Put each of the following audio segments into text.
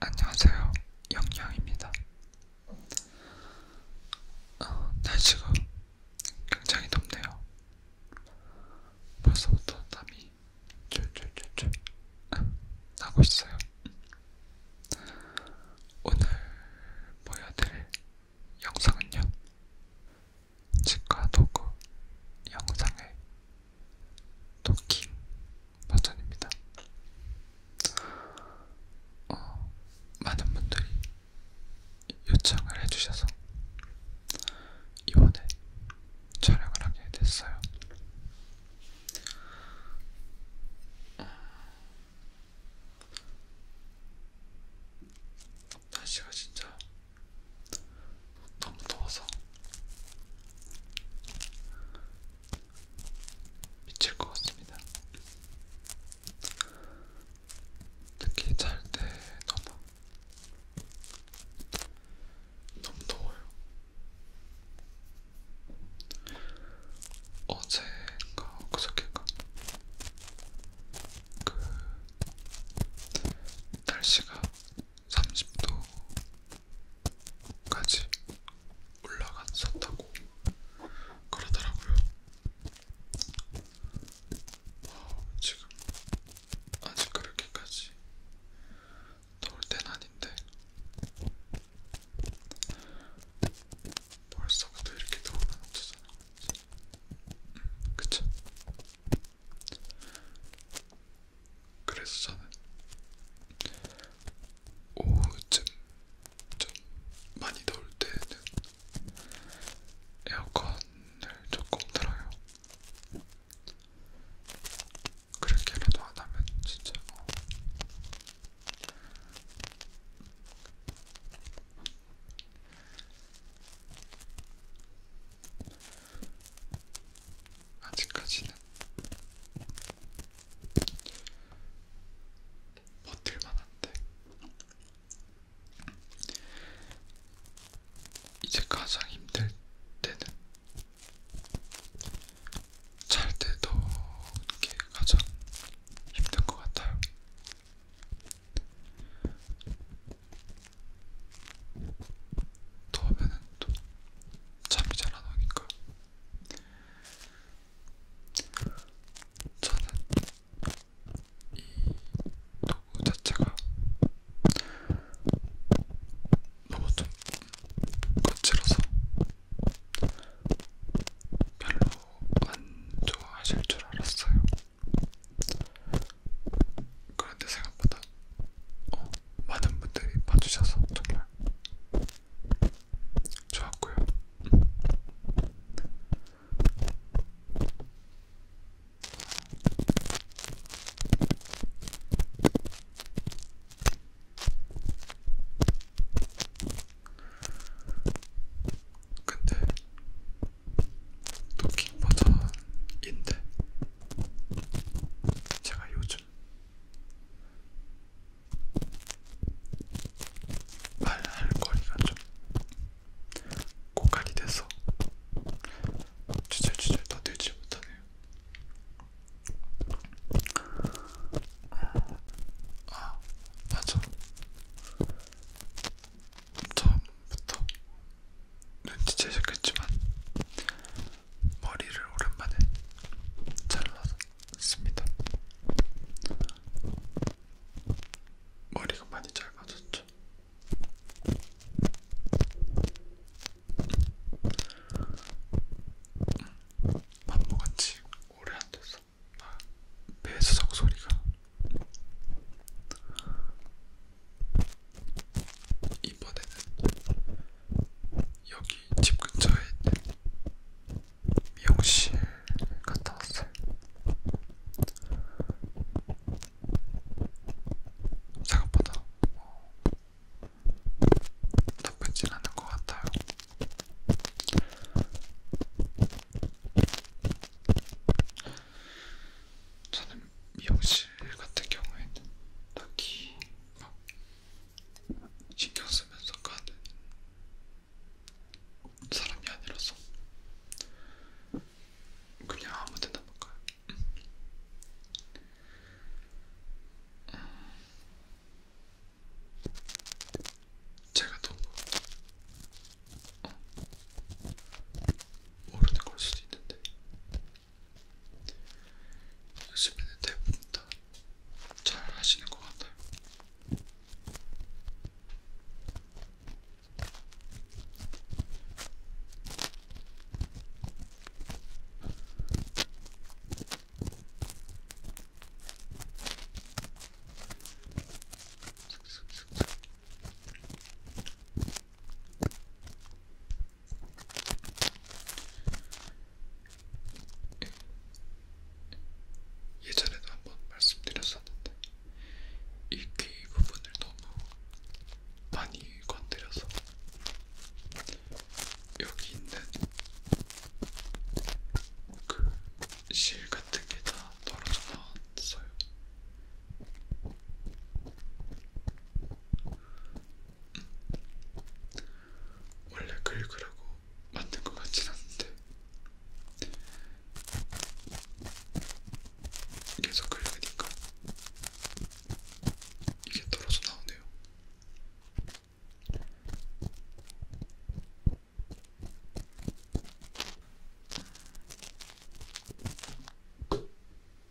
안녕하세요. 영영입니다. 어, 날씨가 네, 굉장히 덥네요. 벌써부터 땀이 줄줄줄줄 나고 있어요. 오늘 보여드릴 영상은요. 치과 도구 영상의 토킹 버전입니다. 어, 많은 분들이 요청을 해주셔서 이번에 촬영을 하게 됐어요. 어, 날씨가 진짜 너무 더워서 미칠 것 같습니다. 특히 잘 때 너무 너무 더워요. 어제가 그저께가 그 날씨가 30도까지 올라갔었다고 그러더라고요. 어, 지금 아직 그렇게까지 더울 땐 아닌데 벌써부터 이렇게 더우면 어쩌잖아. 음, 그쵸? 그래서 저는 오후쯤 좀 많이 더울 때는 에어컨을 조금 틀어요. 그렇게라도 안 하면 진짜 어. 아직까지는 버틸만한데 이제 가장 힘들 때는 잘 때도 이게 가장 힘든 것 같아요. 더우면은 또 잠이 잘안 오니까 저는 이 도구 자체가 너무 좀 거칠어서 별로 안 좋아하실 줄 알았어요. 그런데 생각보다 어, 많은 분들이 봐주셔서 정말 좋았고요. 음. 근데 토킹 버전인데 제가 요즘 말할 거리가 좀 고갈이 돼서 주절주절 떠들지 못하네요. 아, 맞아. 처음부터 눈치채셨겠지만 머리를 오랜만에 잘랐습니다. 머리가 많이 짧아졌죠. 반복한 지 오래 안 됐어. 아, 배수석 소리가 이번에는 여기 집 근처에 있는 미용실 갔다 왔어요. 생각보다 뭐 나쁘진 않은 것 같아요. 저는 지금 미용실 같은 경우에는 딱히 막 신경 쓰면서 가는 사람이 아니라서 그냥 아무데나 막 가요. 음. 제가 너무 어, 모르는 걸 수도 있는데 요즘에는 대부분 다 잘 하시는 것 같아요. 예전에도 한번 말씀드렸었는데 이 귀 부분을 너무 많이 건드려서 여기 있는 그 실 같은 게다 떨어져 나왔어요. 원래 긁으라고 만든 것 같진 않은데 계속 긁으니까 이게 떨어져 나오네요.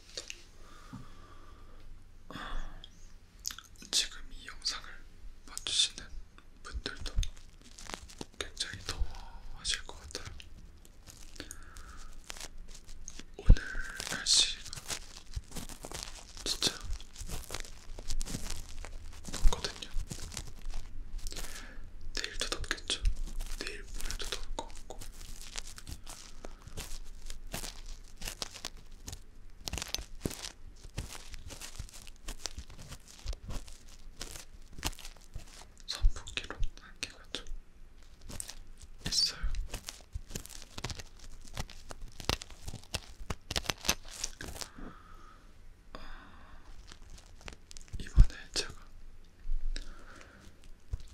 감사합니다. 지금 이 영상을 봐주시는 분들도 굉장히 더워하실 것 같아요. 오늘 날씨가 진짜 덥거든요. 내일도 덥겠죠. 내일 모레도 덥을 것 같고 선풍기로 안개가 좀 있어요. 어, 이번에 제가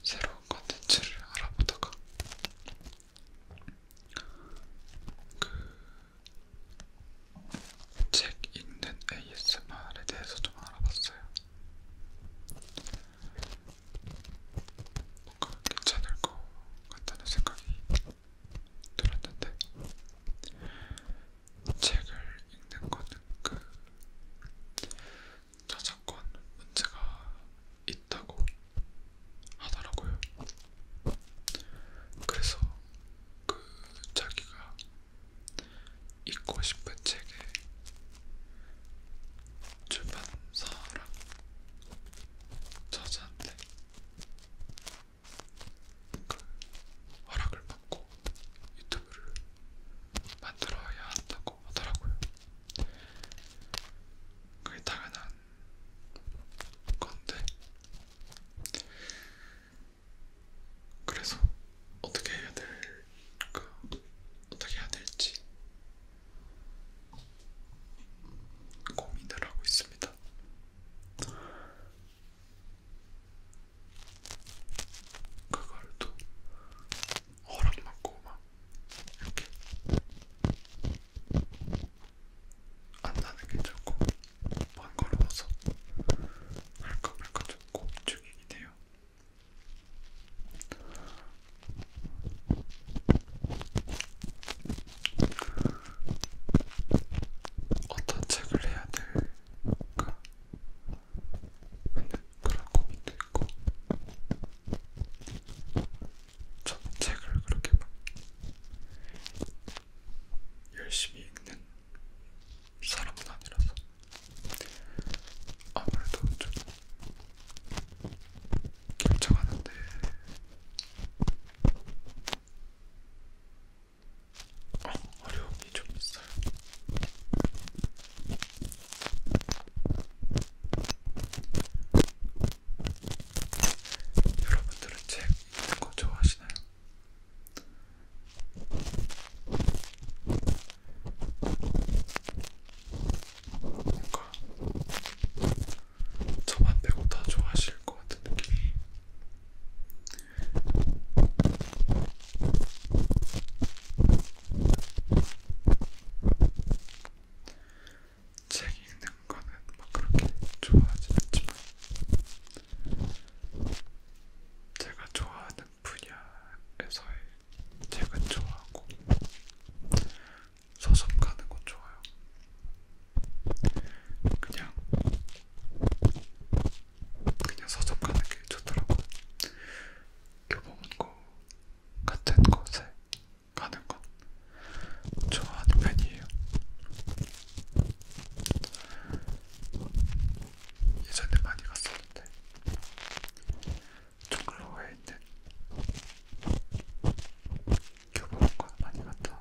새로운 컨텐츠를 알아보다가 그책 읽는 ASMR에 대해서 좀 알아봤어요. 뭔가 괜찮을 것 같다는 생각이 들었는데 책을 읽는 거는 그 저작권 문제가 있다고 하더라고요. 그래서 그 자기가 읽고 싶은 책에 출판사랑 저자한테 그 허락을 받고 유튜브를 만들어야 한다고 하더라고요. 그게 당연한 건데 그래서 어떻게 해야 될까 어떻게 해야 될지 고민을 하고 있습니다. 그걸 또 허락 맞고 막 이렇게 안 나는 괜찮고 안 걸어서 할까 말까 잡고 움직이긴 해요. 어떤 책을 해야 될까? 그런 고민도 있고 저는 책을 그렇게 막 열심히 읽는 사람은 아니라서 아무래도 좀 결정하는데 어, 어려움이 좀 있어요. 여러분들은 책 읽는 거 좋아하시나요? 뭔가 저만 빼고 다 좋아하실 것 같은 느낌이 책 읽는 거는 막 뭐 그렇게 좋아하지 않지만 제가 좋아하는 분야에서의 책은 좋아하고 서점 가는 건 좋아요. 그냥 그냥 서점 가는 게 좋더라고. 교보문고 친구 같은 곳에 가는 건 좋아하는 편이에요. 예전에 많이 갔었는데 종로에 있는 교보관 많이 갔다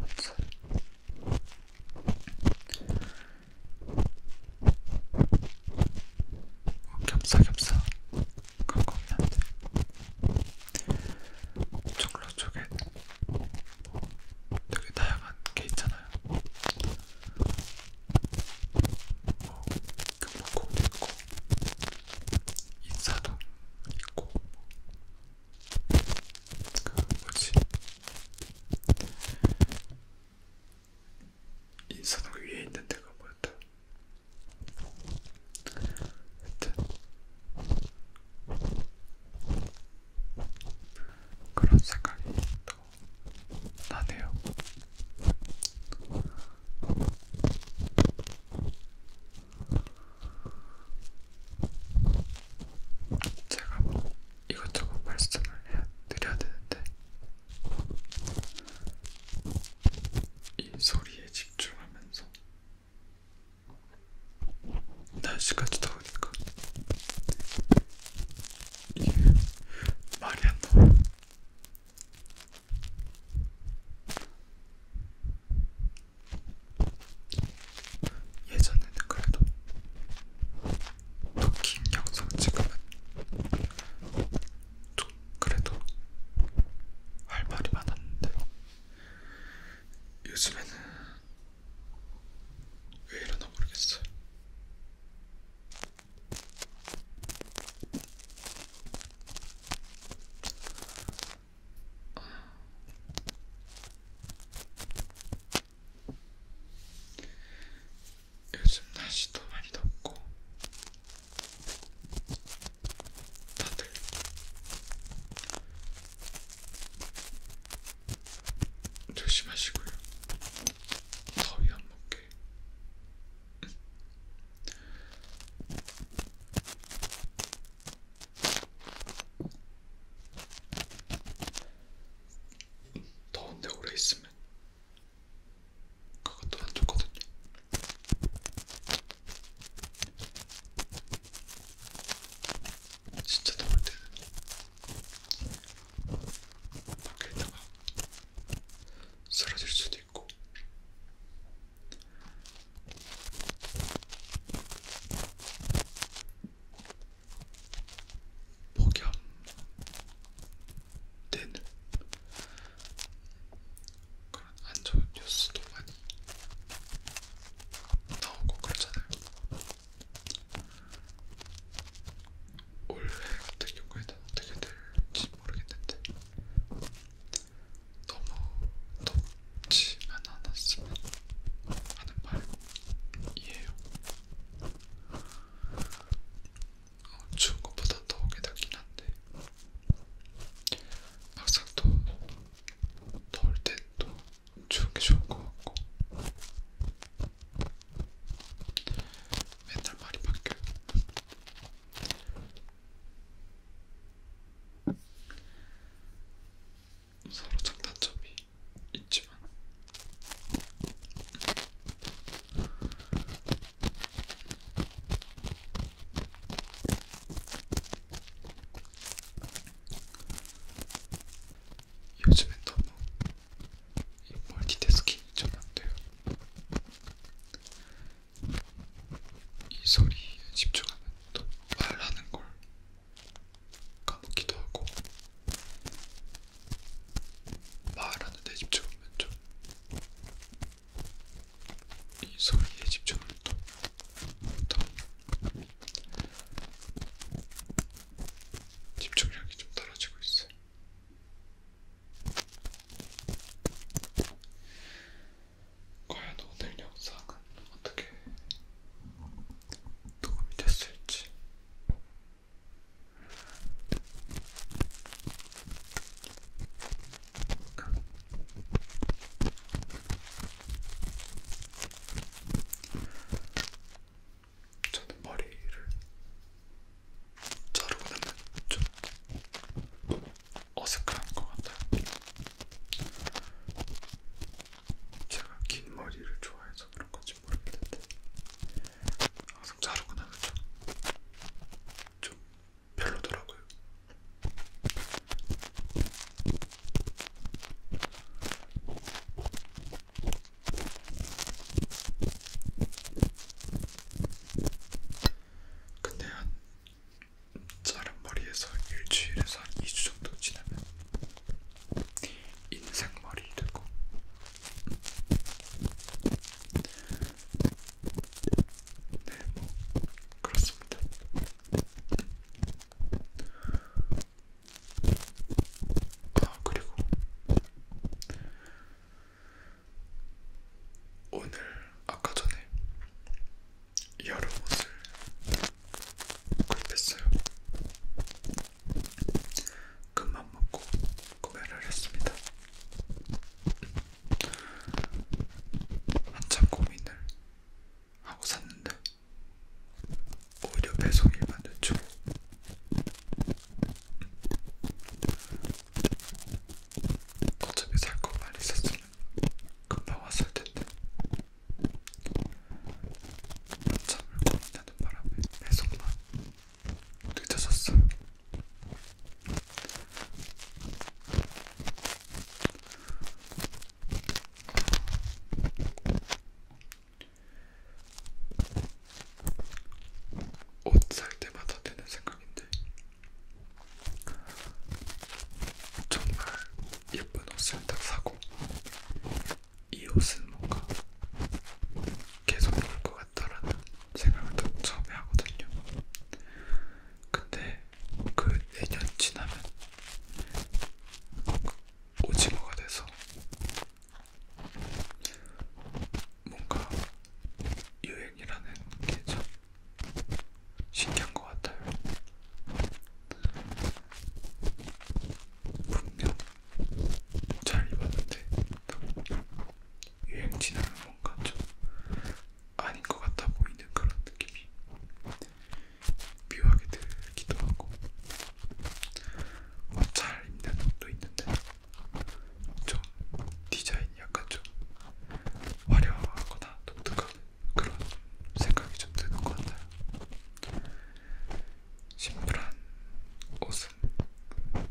왔어요. 겹사겹사 그런 거 없냐? 종로 쪽에 되게 다양한 게 있잖아요. 뭐 금목공도 있고 인사동 있고 뭐 그 뭐지 이 선악 위에 있는 데가 뭐였다? 하여튼 그런 생각이 또 나네요. 제가 뭐 이것저것 말씀을 해드려야 되는데 이 소리에 집중하면서 날씨가 더우니까 이게 말이 안 나와요. 예전에는 그래도 토킹 영상 지금은 또 그래도 할 말이 많았는데 요즘에는 왜 이러나 모르겠어요. 요즘 날씨도 많이 덥고 다들 조심하시고요. 더위 안 먹게. 음. 더운데 오래 있으면 그것도 안 좋거든요. 진짜 더울 때는 밖에 있다가 쓰러질 수도 있고 폭염 되는 그런 안 좋은 뉴스도 많이 나오고 그렇잖아요. 올해 같은 경우에는 어떻게 될지 모르겠는데 너무 덥지만 않았으면 하는 바람이에요. 어, 추운 것보다 더운 게 낫긴 한데 막상 또 더울 땐또 추운 게 좋은 것 같고 맨날 말이 바뀌어요. 서로 장단점이 있지만 요즘엔 너무 이 멀티태스킹이 좀안 돼요. 이 소리에 집중하면 또 말하는 걸 까먹기도 하고 말하는데 집중하면 좀이 소리에 집중을 또 집중력이 좀 떨어지고 있어요. 과연 오늘 영상은 어떻게 도움이 됐을지 저는 머리를 자르고 나면 좀 어색한 것 같아요. 제가 긴 머리를 좋아해서 그런 거지. 있는지 모르겠는데 네. 항상 자르고 나면 좀, 좀 별로더라고요. 근데 한 자른 머리에서 일주일에서 한 2주 정도 지나면 인생머리 되고 뭐 그렇습니다. 아 그리고 오늘 아까 전에 여름 옷을 구입했어요. 큰맘 먹고 구매를 했습니다. 한참 고민을 하고 샀는데 오히려 배송이 늦죠. 어차피 살 것만 있었으면 금방 왔을 텐데 한참을 고민하는 바람에 배송만 늦었었어. 옷 살 때마다 드는 생각인데 정말 예쁜 옷을 딱 사고 이 옷은 뭔가 계속 입을 것 같다라는 생각을 딱 처음에 하거든요. 근데 그 내년 지나면 오징어가 돼서 뭔가 유행이라는 게 참 신기한 것 같아요. 분명 잘 입었는데 여행 지나면 뭔가 좀 아닌 것 같아 보이는 그런 느낌이 묘하게 들기도 하고 뭐잘 어, 입는 옷도 있는데 좀 디자인이 약간 좀 화려하거나 독특한 그런 생각이 좀 드는 것 같아요. 심플한 옷은 음,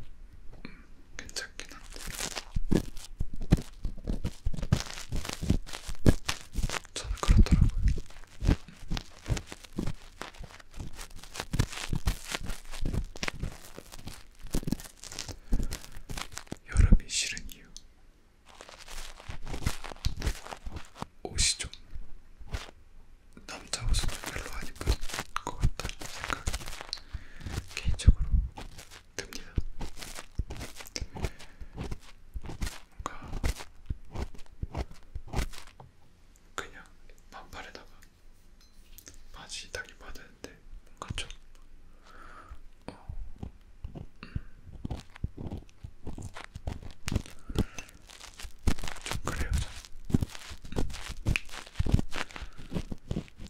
괜찮긴 한데 저는 그렇더라고요. 여름이 싫은 이유 옷이 좀 남자 옷은 별로 안 입을 것 같다는 생각이 개인적으로 듭니다. 뭔가 그냥 반팔에다가 바지 딱 입어야 되는데 뭔가 좀 어, 음. 좀 그래요, 저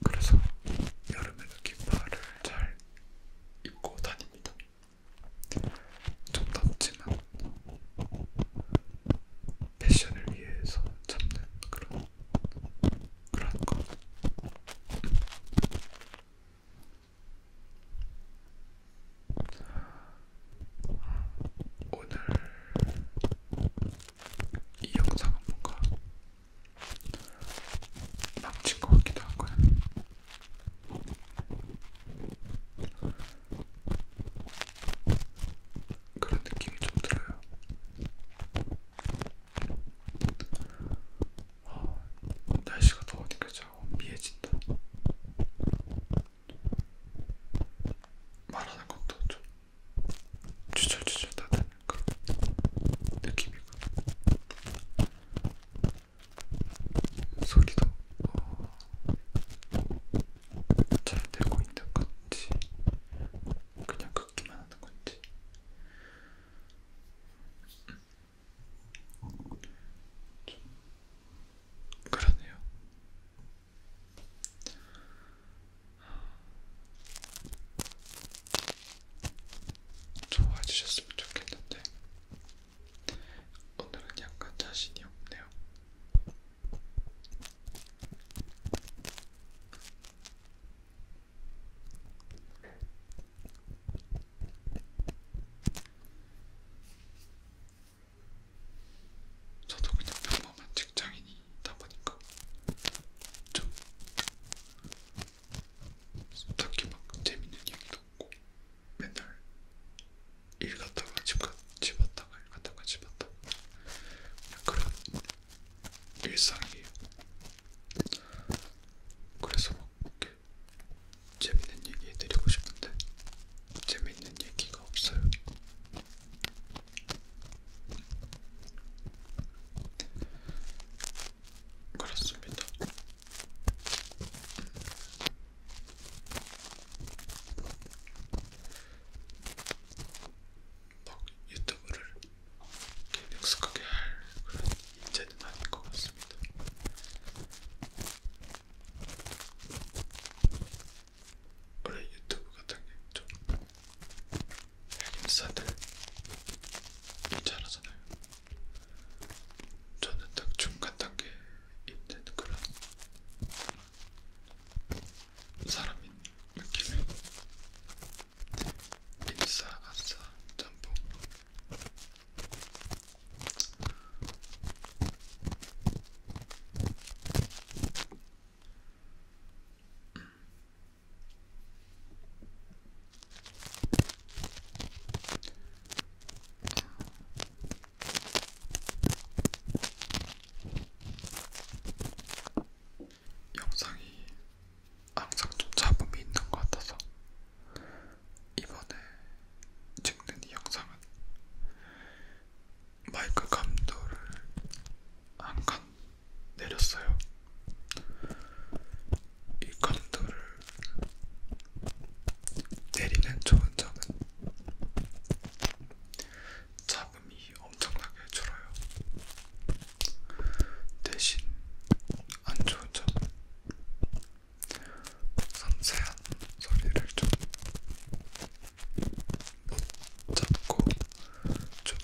그래서 여름에는 긴팔을 잘 입고 다닙니다. 좀 덥지만 패션을 위해서 잡는 그런 그런 거. 오늘 이 영상은 뭔가 남친 것 같기도 하고요. 그런 느낌이 좀 들어요. 어, 날씨가 더우니까 자꾸 미해진다. 말하는 것도 좀 주절주절 다 되는 거 느낌이고 소리도 어, 잘 되고 있는 건지 그냥 긋기만 하는 건지 그러네요. 좋아해 주셨으면 좋겠는데 오늘은 약간 자신이 없네요. 저도 그냥 평범한 직장인이다 보니까 좀 딱히 막 재밌는 얘기도 없고 맨날 일 갔다가 집, 가, 집 왔다가 일 갔다가 집 왔다가 그런 일상이에요. 그래서 막 이렇게 재밌는 얘기 해드리고 싶은데 재밌는 얘기가 없어요. 그렇습니다. 막 뭐 유튜브를 이렇게 능숙하게 할 그런 인재는 아닌 것 같습니다. 원래 유튜브 같은 게좀 핵인싸들이 잘하잖아요. 저는 딱 중간 단계에 있는 그런 사람인 느낌의 인싸, 아싸, 짬뽕 영상이 항상 좀 잡음이 있는 것 같아서 이번에 찍는 이 영상은 마이크 감도를 한칸 내렸어요. 이 칸들을 내리는 좋은 점은 자금이 엄청나게 줄어요. 대신 안 좋은 점은 섬세한 소리를 좀 잡고 좀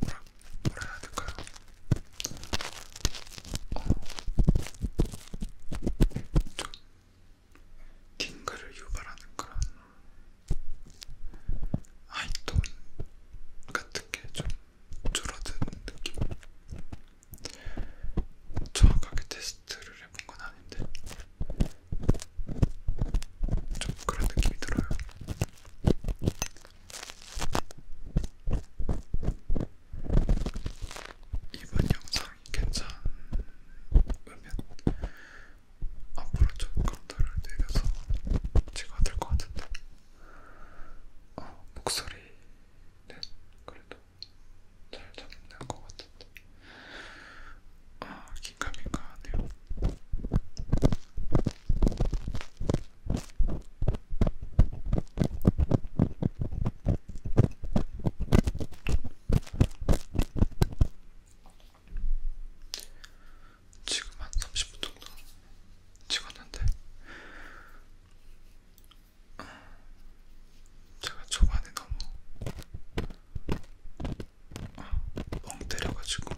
뭐라 뭐라 해야 될까요? 어좀 글을 유발하는 그런 하이톤 같은 게 좀 줄어든 느낌. 정확하게 테스트를 해본 건 아닌데 좀 그런 느낌이 들어요. 이번 영상이 괜찮으면 앞으로 좀 감도를 내려서 찍어야 될것 같은데 어, 목소리는 그래도 잘 잡는 것 같은데 아, 긴가민가 하네요. 지금 한 30분 정도 찍었는데 어, 제가 초반에 너무 멍 때려가지고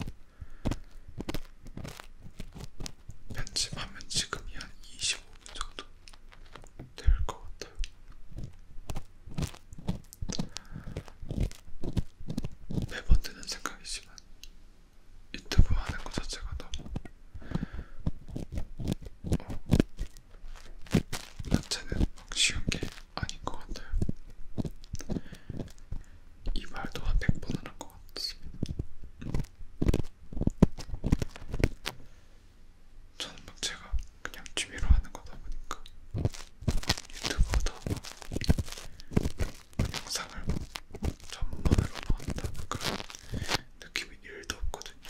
편집하면 지금이 한 25분 정도 될 것 같아요. 매번 드는 생각이지만 유튜브 하는 것 자체가 너무 어, 나체는 쉬운 게 아닌 것 같아요. 이 말도 한 100번은 한것 같습니다. 저는 막 제가 그냥 취미로 하는 거다 보니까 유튜버도 막 영상을 막 전문으로 한다 그런 느낌이 일도 없거든요.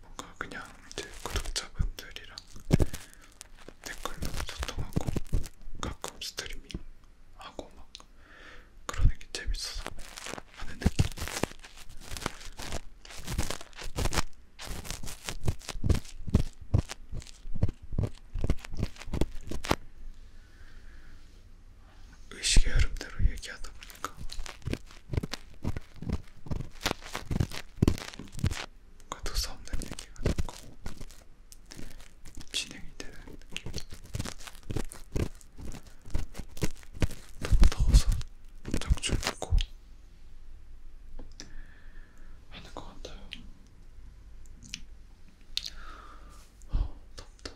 뭔가 그냥 제 구독자분들이랑 댓글로 소통하고 가끔 스트리밍 하고 막 그러는 게 재밌어서 하는 느낌. 의식의 흐름대로 얘기하다 보니까 가도 싸움된 얘기가 됐고 진행이 되는 느낌 너무 더워서 장출 먹고 하는 것 같아요 어, 덥다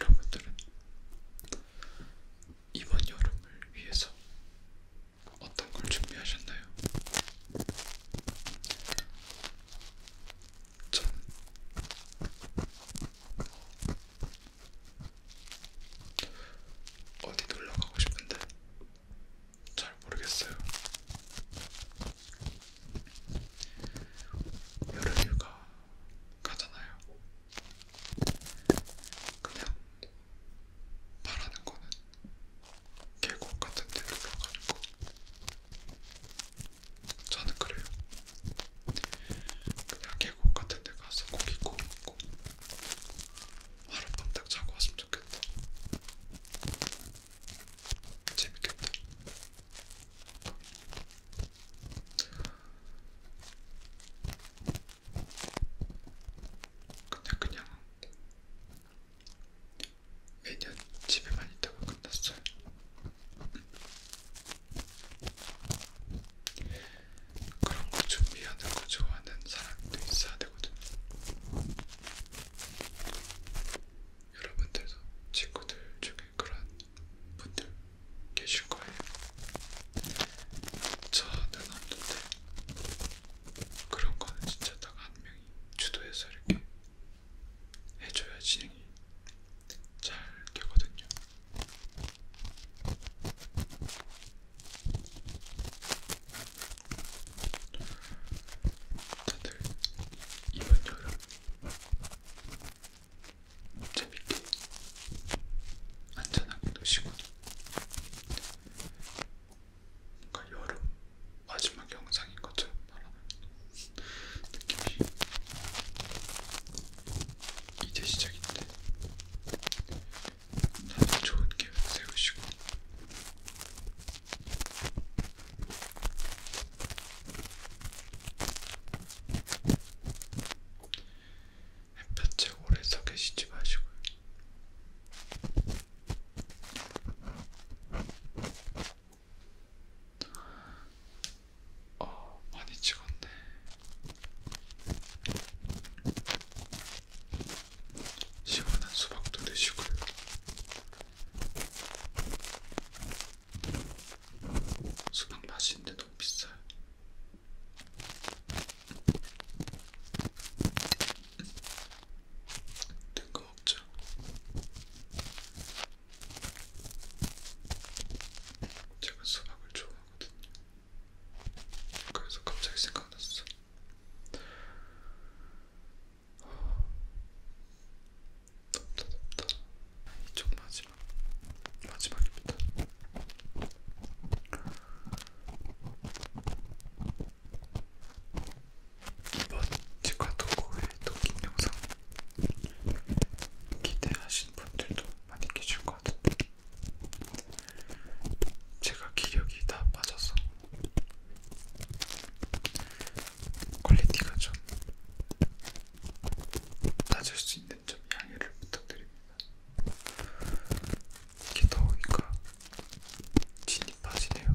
여러분들은 이번 여름을 위해서 어떤 걸 준비하셨나요? 전 어디 놀러 가고 싶은데 잘 모르겠어요. 여름휴가 가잖아요. 그냥 바라는 거는 계곡 같은 데로 가가지고 저는 그래요. 그냥 계곡 같은 데 가서 고기 구워 먹고 하룻밤 딱 자고 왔으면 좋겠다. 재밌겠다. 근데 그냥 매년 집에만 있다가 끝났어요. 그런 거 준비하는 거 좋아하는 사람도 있어야 되거든요. 여러분들도 친구들 중에 그런 분들 계실 거예요. 저는 없는데 그런 거는 진짜 딱 한 명이 주도해서 이렇게 해줘야 진행이 잘 되거든요. 다들 이번 여름 재밌게 안전하게 노시고 뭔가 여름 마지막 영상인 것처럼 말하는 느낌이 이제 시작인데 다들 좋은 계획 세우시고 햇볕에 오래 서 계시지 마시고요. 어, 많이 찍었네. 시원한 수박도 드시고요. 수박 맛있는데 너무 비싸요. 뜬금없죠. 제가 수박을 좋아하거든요. 그래서 갑자기 생각났어. 덥다 덥다 이쪽 마지막 마지막입니다. 이번 치과 도구의 도킹 영상 기대하신 분들도 많이 계실 것 같은데 제가 기력이 다 빠져서 퀄리티가 좀 낮을 수 있는 좀 양해를 부탁드립니다. 이렇게 더우니까 진이 빠지네요.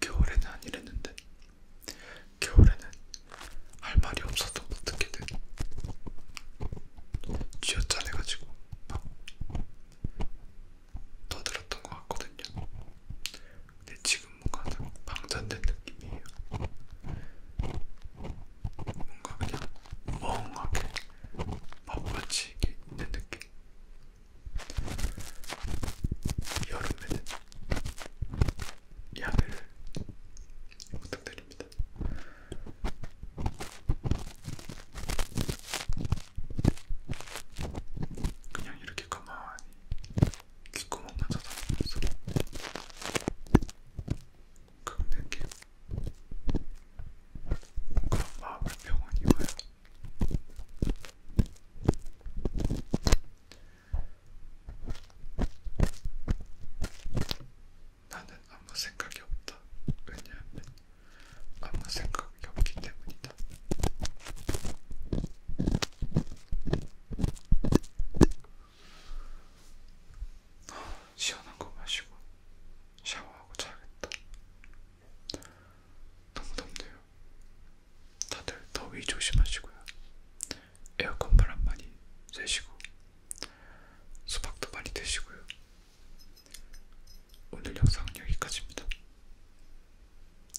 겨울에는 안 이랬는데 겨울에는 할 말이 없어도 어떻게든 쥐어짜내가지고 막 떠들었던 것 같거든요. 근데 지금 뭔가 방전된 느낌이에요. 뭔가 그냥 멍하게 마빠치 있는 느낌. 여름에는 양을 부탁드립니다. 그냥 이렇게 가만히 귓구멍만 찾아보면서 그 느낌 그런 마음을 평온히 와요. 나는 아무 생각이 없다. 왜냐하면 아무 생각이 없기 때문이다. 시원한 거 마시고 샤워하고 자겠다. 너무 덥네요. 다들 더위 조심하시고요. 에어컨 바람 많이 쐬시고 수박도 많이 드시고요. 오늘 영상은 여기까지입니다.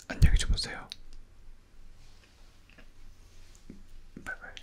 안녕히 주무세요. 바이바이.